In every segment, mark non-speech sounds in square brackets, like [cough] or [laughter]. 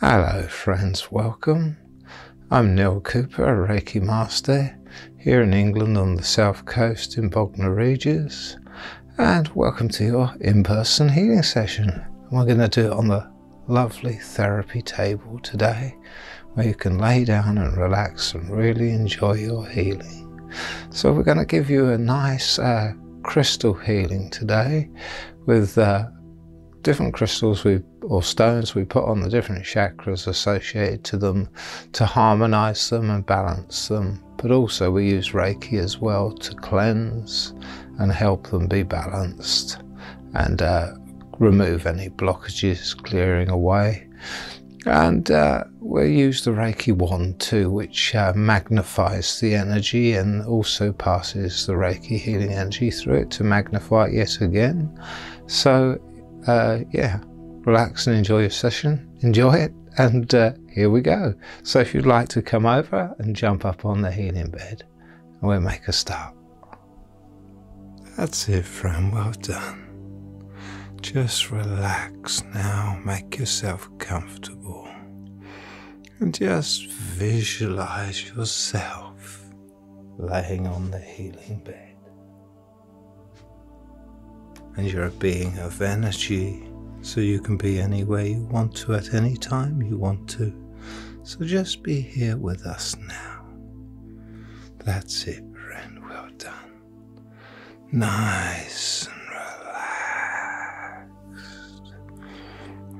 Hello, friends, welcome. I'm Neil Cooper, a Reiki Master here in England on the south coast in Bognor Regis, and welcome to your in person healing session. we're going to do it on the lovely therapy table today, where you can lay down and relax and really enjoy your healing. So, we're going to give you a nice uh, crystal healing today with. Uh, different crystals or stones we put on the different chakras associated to them to harmonize them and balance them but also we use reiki as well to cleanse and help them be balanced and uh, remove any blockages clearing away and uh, we use the reiki wand too which uh, magnifies the energy and also passes the Reiki healing energy through it to magnify it yet again. So, uh, yeah, relax and enjoy your session. Enjoy it, and uh, here we go. So, if you'd like to come over and jump up on the healing bed, and we'll make a start. That's it, friend. Well done. Just relax now, make yourself comfortable. And just visualize yourself laying on the healing bed. And you're a being of energy, so you can be anywhere you want to at any time you want to. So just be here with us now. That's it, we're done. Nice and relaxed.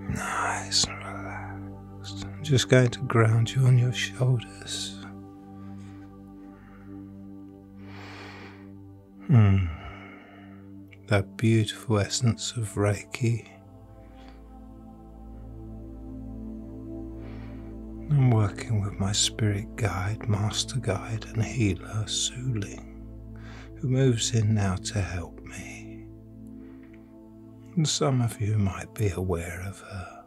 Nice relaxed. I'm just going to ground you on your shoulders. Mm. That beautiful essence of Reiki. I'm working with my spirit guide, master guide, and healer, Suling, who moves in now to help me. And some of you might be aware of her.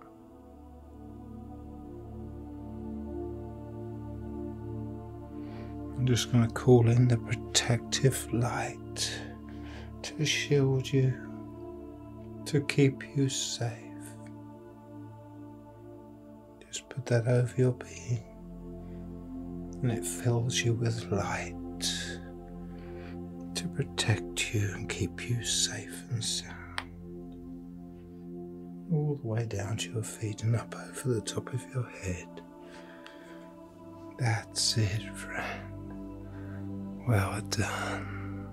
I'm just going to call in the protective light to shield you, to keep you safe. Just put that over your being and it fills you with light to protect you and keep you safe and sound. All the way down to your feet and up over the top of your head. That's it, friend. Well done.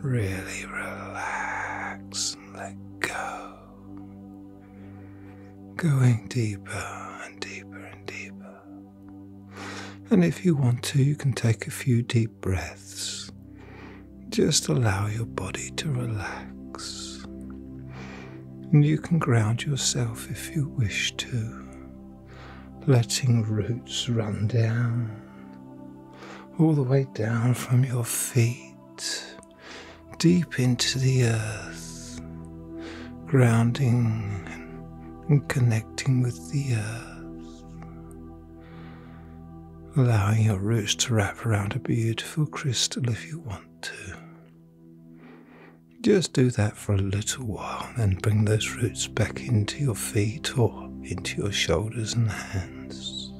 Really relax and let go going deeper and deeper and deeper. And if you want to, you can take a few deep breaths. Just allow your body to relax. And you can ground yourself if you wish to, letting roots run down, all the way down from your feet deep into the earth, grounding and connecting with the earth, allowing your roots to wrap around a beautiful crystal if you want to. Just do that for a little while, then bring those roots back into your feet or into your shoulders and hands.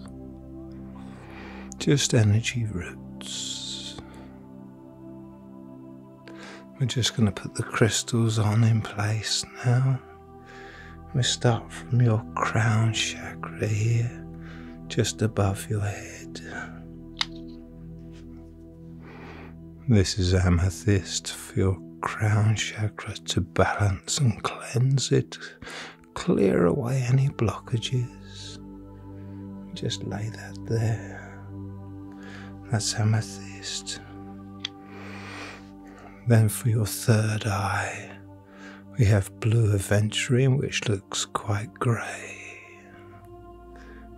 Just energy roots. We're just going to put the crystals on in place now. We start from your crown chakra here, just above your head. This is amethyst for your crown chakra to balance and cleanse it, clear away any blockages. Just lay that there. That's amethyst. Then for your third eye, we have blue aventurine, which looks quite grey.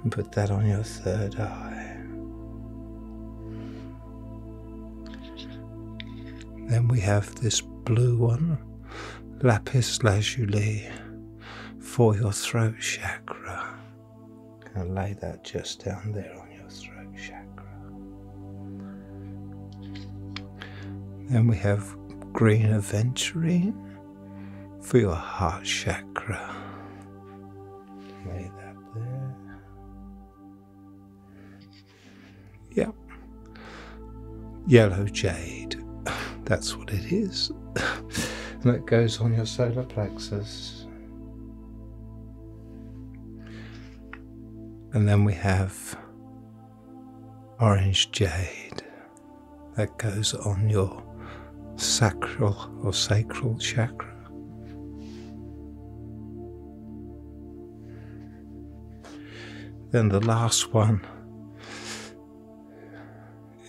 And put that on your third eye. Then we have this blue one, lapis lazuli for your throat chakra. And lay that just down there on your throat chakra. Then we have green aventurine for your heart chakra. Lay that there. Yep. Yellow jade. [sighs] That's what it is that [sighs] goes on your solar plexus. And then we have orange jade that goes on your sacral or sacral chakra. Then the last one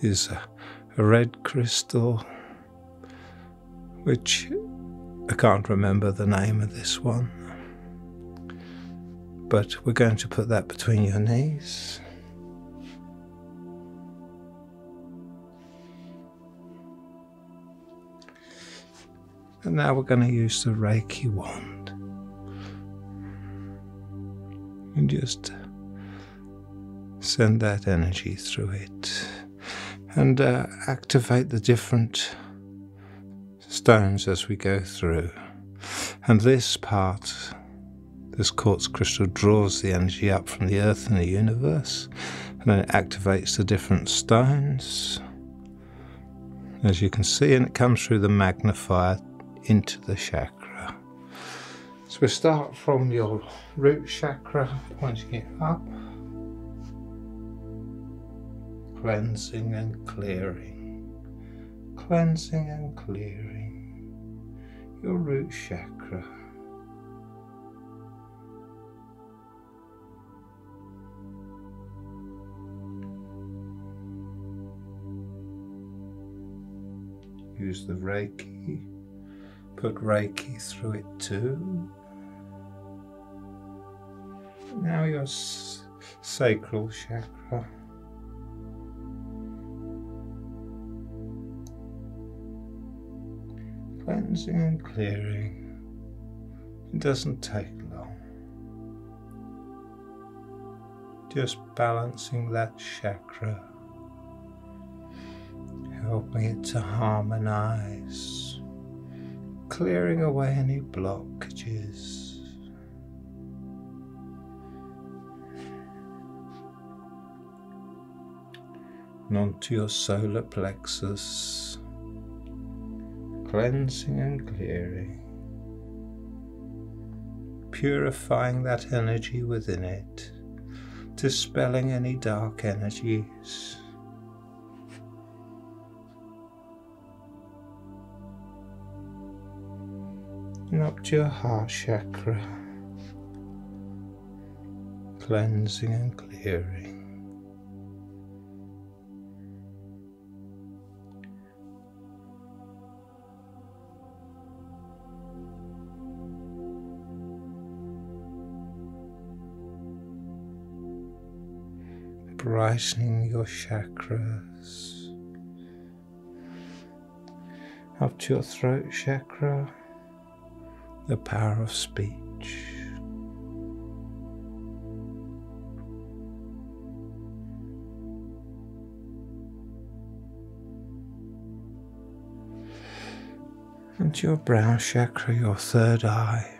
is a red crystal, which I can't remember the name of this one. But we're going to put that between your knees. And now we're going to use the Reiki wand. And just Send that energy through it and uh, activate the different stones as we go through. And this part, this quartz crystal, draws the energy up from the earth and the universe, and then it activates the different stones, as you can see, and it comes through the magnifier into the chakra. So we start from your root chakra, pointing it up, cleansing and clearing, cleansing and clearing your root chakra. Use the Reiki. Put Reiki through it too. Now your sacral chakra. Cleansing and clearing. It doesn't take long. Just balancing that chakra. Helping it to harmonize, clearing away any blockages. and onto your solar plexus, cleansing and clearing, purifying that energy within it light, dispelling any dark energies. And up to your heart chakra, cleansing and clearing brightening your chakras up to your throat chakra, the power of speech. Into your brow chakra, your third eye,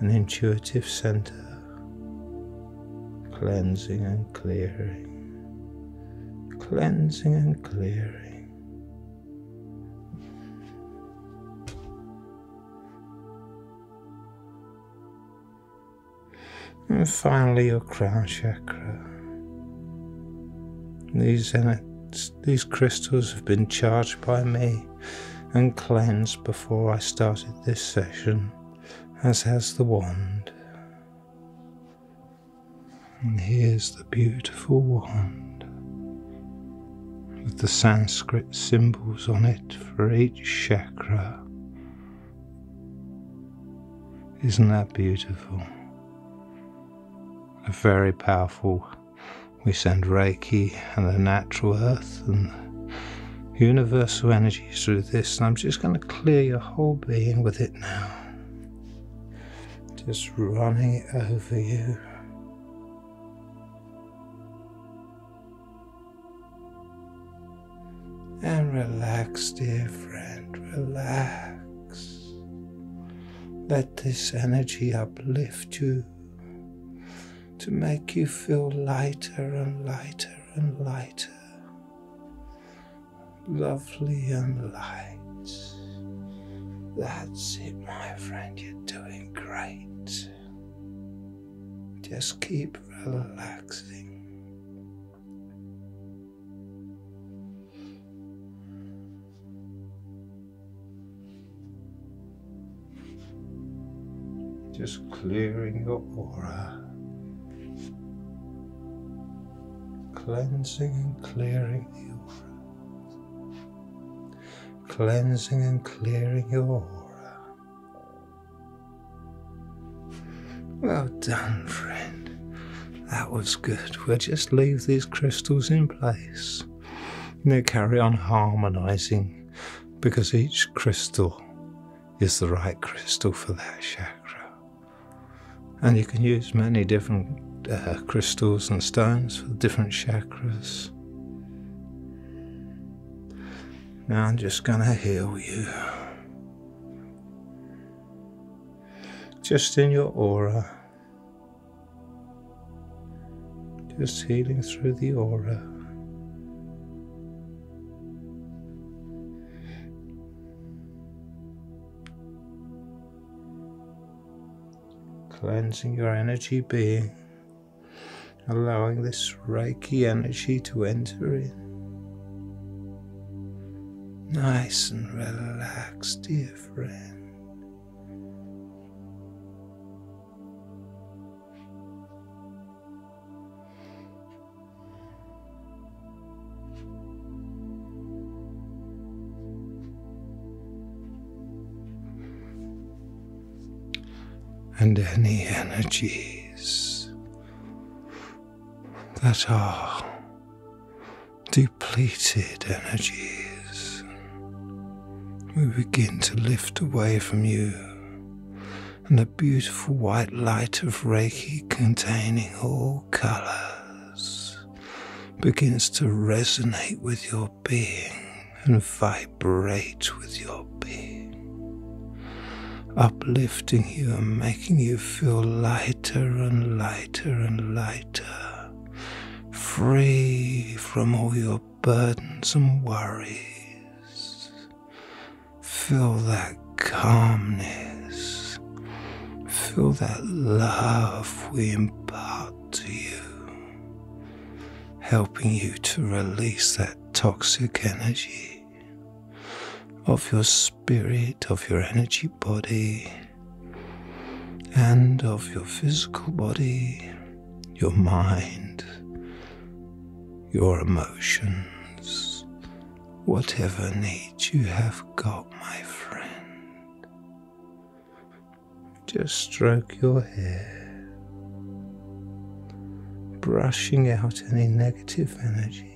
an intuitive center, cleansing and clearing, cleansing and clearing. And finally, your crown chakra. These, crystals have been charged by me and cleansed before I started this session, as has the wand. And here's the beautiful wand with the Sanskrit symbols on it for each chakra isn't that beautiful? A very powerful. We send Reiki and the natural earth and universal energies through this. And I'm just going to clear your whole being with it now. Just running over you and relax, dear friend. Relax. Let this energy uplift you to make you feel lighter and lighter and lighter, lovely and light. That's it, my friend. You're doing great. Just keep relaxing. Just clearing your aura, cleansing and clearing the aura, cleansing and clearing your aura. Well done, friend. That was good. We'll just leave these crystals in place. Now carry on harmonizing because each crystal is the right crystal for that chakra. And you can use many different uh, crystals and stones for different chakras. Now I'm just going to heal you just in your aura, just healing through the aura. Cleansing your energy being, allowing this Reiki energy to enter in. Nice and relaxed, dear friend. and any energies that are depleted energies. We begin to lift away from you, and the beautiful white light of Reiki containing all colors begins to resonate with your being and vibrate with your being uplifting you and making you feel lighter and lighter and lighter, free from all your burdens and worries. Feel that calmness, feel that love we impart to you, helping you to release that toxic energy of your spirit, of your energy body, and of your physical body, your mind, your emotions, whatever needs you have got, my friend. Just stroke your hair brushing out any negative energy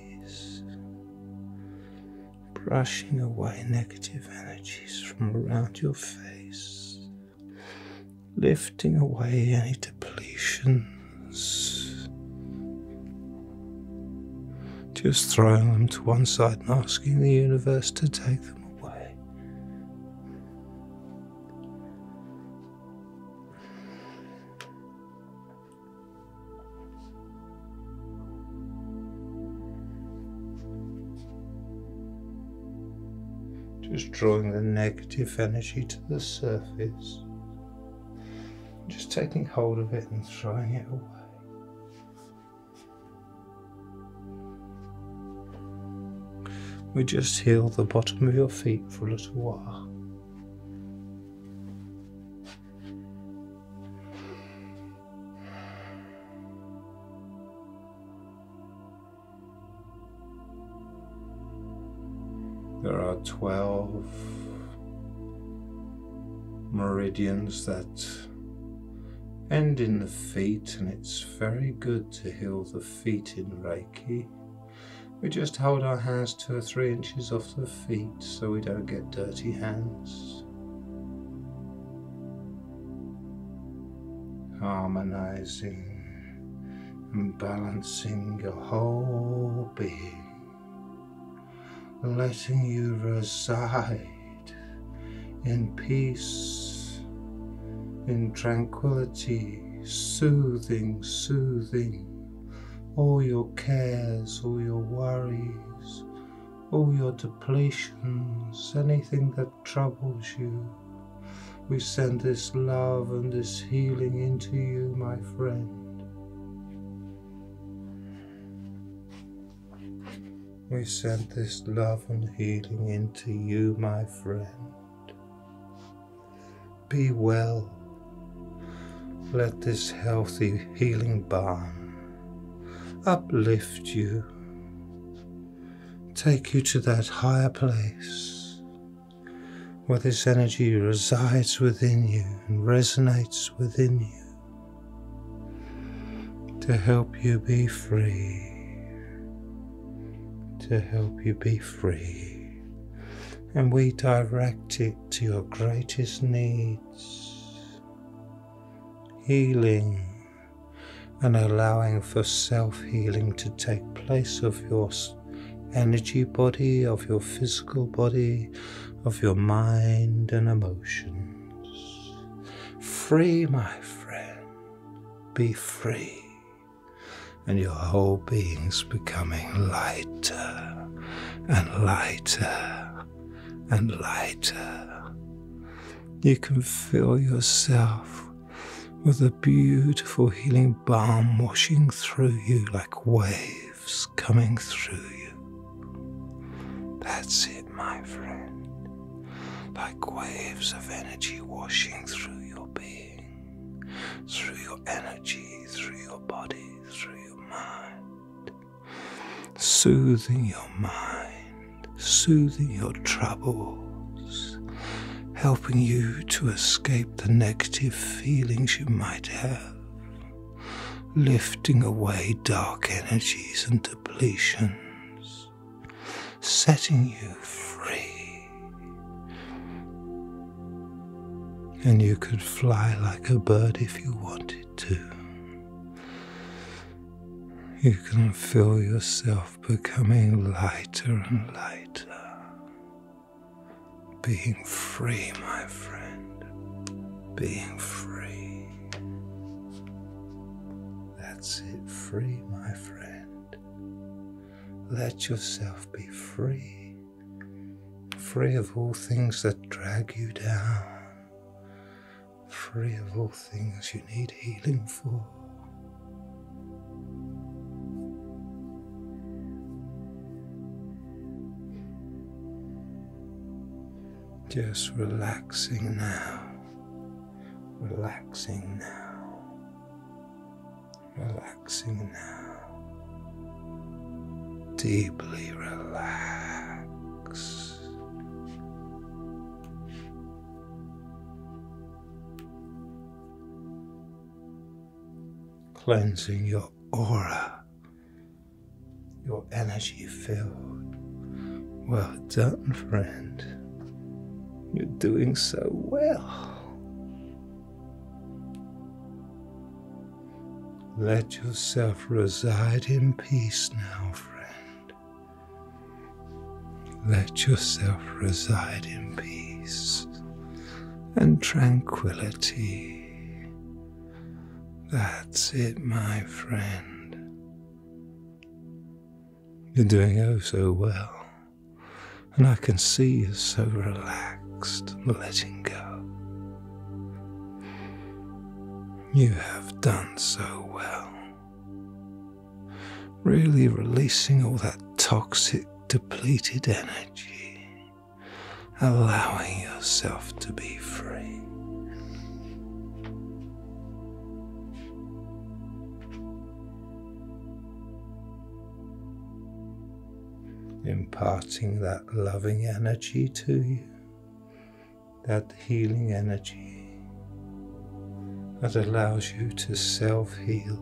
brushing away negative energies from around your face, lifting away any depletions, just throwing them to one side and asking the universe to take them away. Just drawing the negative energy to the surface. Just taking hold of it and throwing it away. We just heal the bottom of your feet for a little while. There are 12 meridians that end in the feet, and it's very good to heal the feet in Reiki. We just hold our hands two or three inches off the feet so we don't get dirty hands. Harmonizing and balancing your whole being letting you reside in peace, in tranquility, soothing, soothing all your cares, all your worries, all your depletions, anything that troubles you. We send this love and this healing into you, my friend. We send this love and healing into you, my friend. Be well. Let this healthy, healing balm uplift you, take you to that higher place where this energy resides within you and resonates within you to help you be free. To help you be free. And we direct it to your greatest needs, healing and allowing for self healing to take place of your energy body, of your physical body, of your mind and emotions. Free, my friend, be free, and your whole being's becoming lighter and lighter and lighter. You can feel yourself with a beautiful healing balm washing through you like waves coming through you. That's it, my friend. Like waves of energy washing through your being, through your energy, through your body, through soothing your mind, soothing your troubles, helping you to escape the negative feelings you might have, lifting away dark energies and depletions, setting you free. And you could fly like a bird if you wanted to. You can feel yourself becoming lighter and lighter. Being free, my friend. Being free. That's it, free, my friend. Let yourself be free free of all things that drag you down, free of all things you need healing for. Just relaxing now, relaxing now relaxing now, deeply relax. cleansing your aura, your energy field. Well done, friend. You're doing so well. Let yourself reside in peace now, friend. Let yourself reside in peace and tranquility. That's it, my friend. You're doing oh so well, and I can see you're so relaxed letting go. You have done so well. Really releasing all that toxic, depleted energy, allowing yourself to be free. imparting that that loving energy to you, that healing energy that allows you to self heal.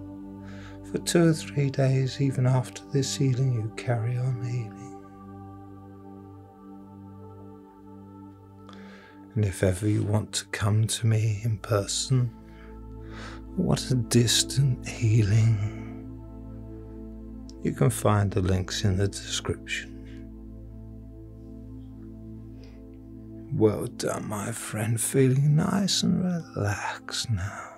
For two or three days, even after this healing, you carry on healing. And if ever you want to come to me in person, what a distant healing you can find the links in the description. Well done, my friend. Feeling nice and relaxed now.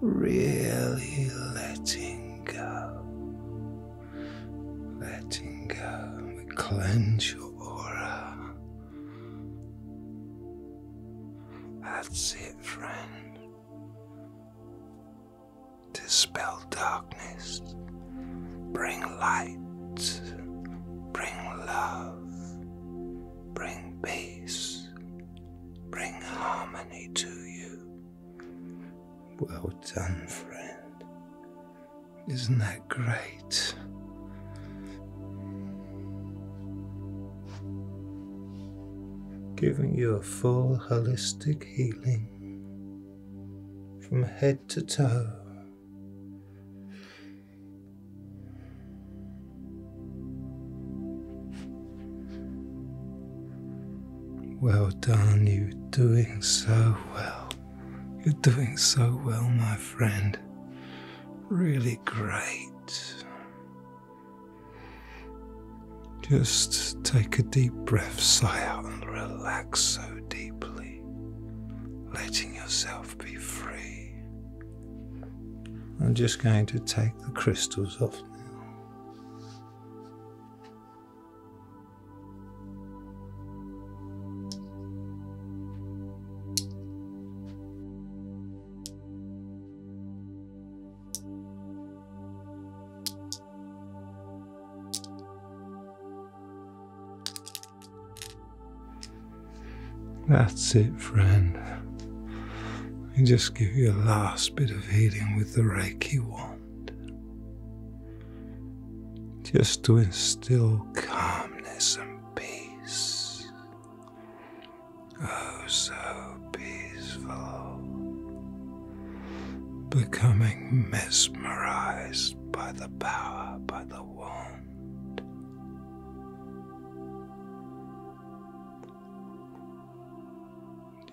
Really letting go. Letting go. We cleanse your aura. That's it, friend. Dispel darkness, bring light, bring love, bring peace, bring harmony to you. Well done, friend. Isn't that great? giving you a full holistic healing from head to toe. Well done, you're doing so well. You're doing so well, my friend. Really great. Just take a deep breath, sigh out, and relax so deeply, letting yourself be free. I'm just going to take the crystals off now. That's it, friend. I just give you a last bit of healing with the Reiki wand. Just to instill calmness and peace oh so peaceful, becoming mesmerized by the power, by the warmth,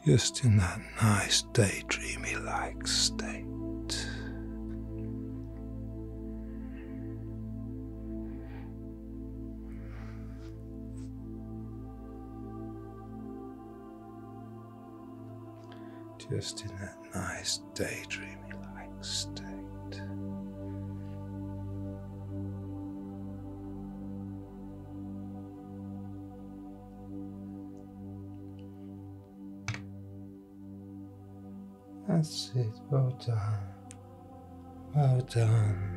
Just in that nice daydreamy like state. Just in that nice daydreamy like state. That's it, well done. Well done.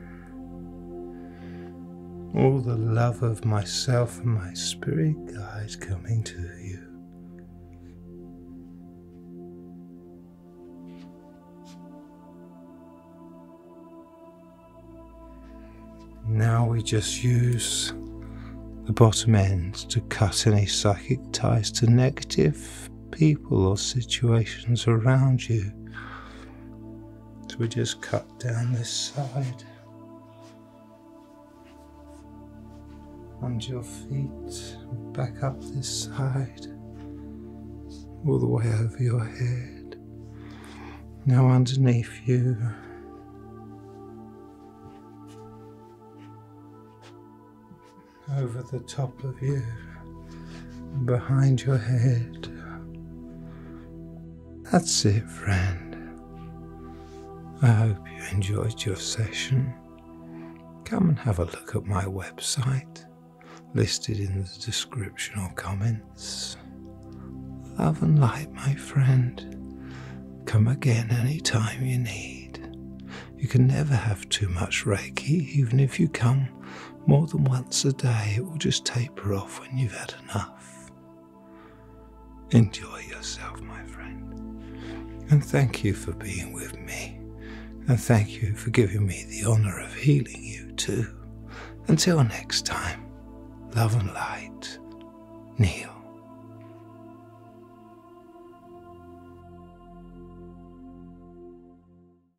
All the love of myself and my spirit guides coming to you. Now we just use the bottom end to cut any psychic ties to negative people or situations around you so we just cut down this side and your feet, back up this side, all the way over your head. Now underneath you. Over the top of you, behind your head. That's it, friend. I hope you enjoyed your session. Come and have a look at my website, listed in the description or comments. Love and light, my friend. Come again any time you need. You can never have too much Reiki, even if you come more than once a day, it will just taper off when you've had enough. Enjoy yourself, my friend. And thank you for being with me. And thank you for giving me the honor of healing you, too. Until next time, love and light. Neil.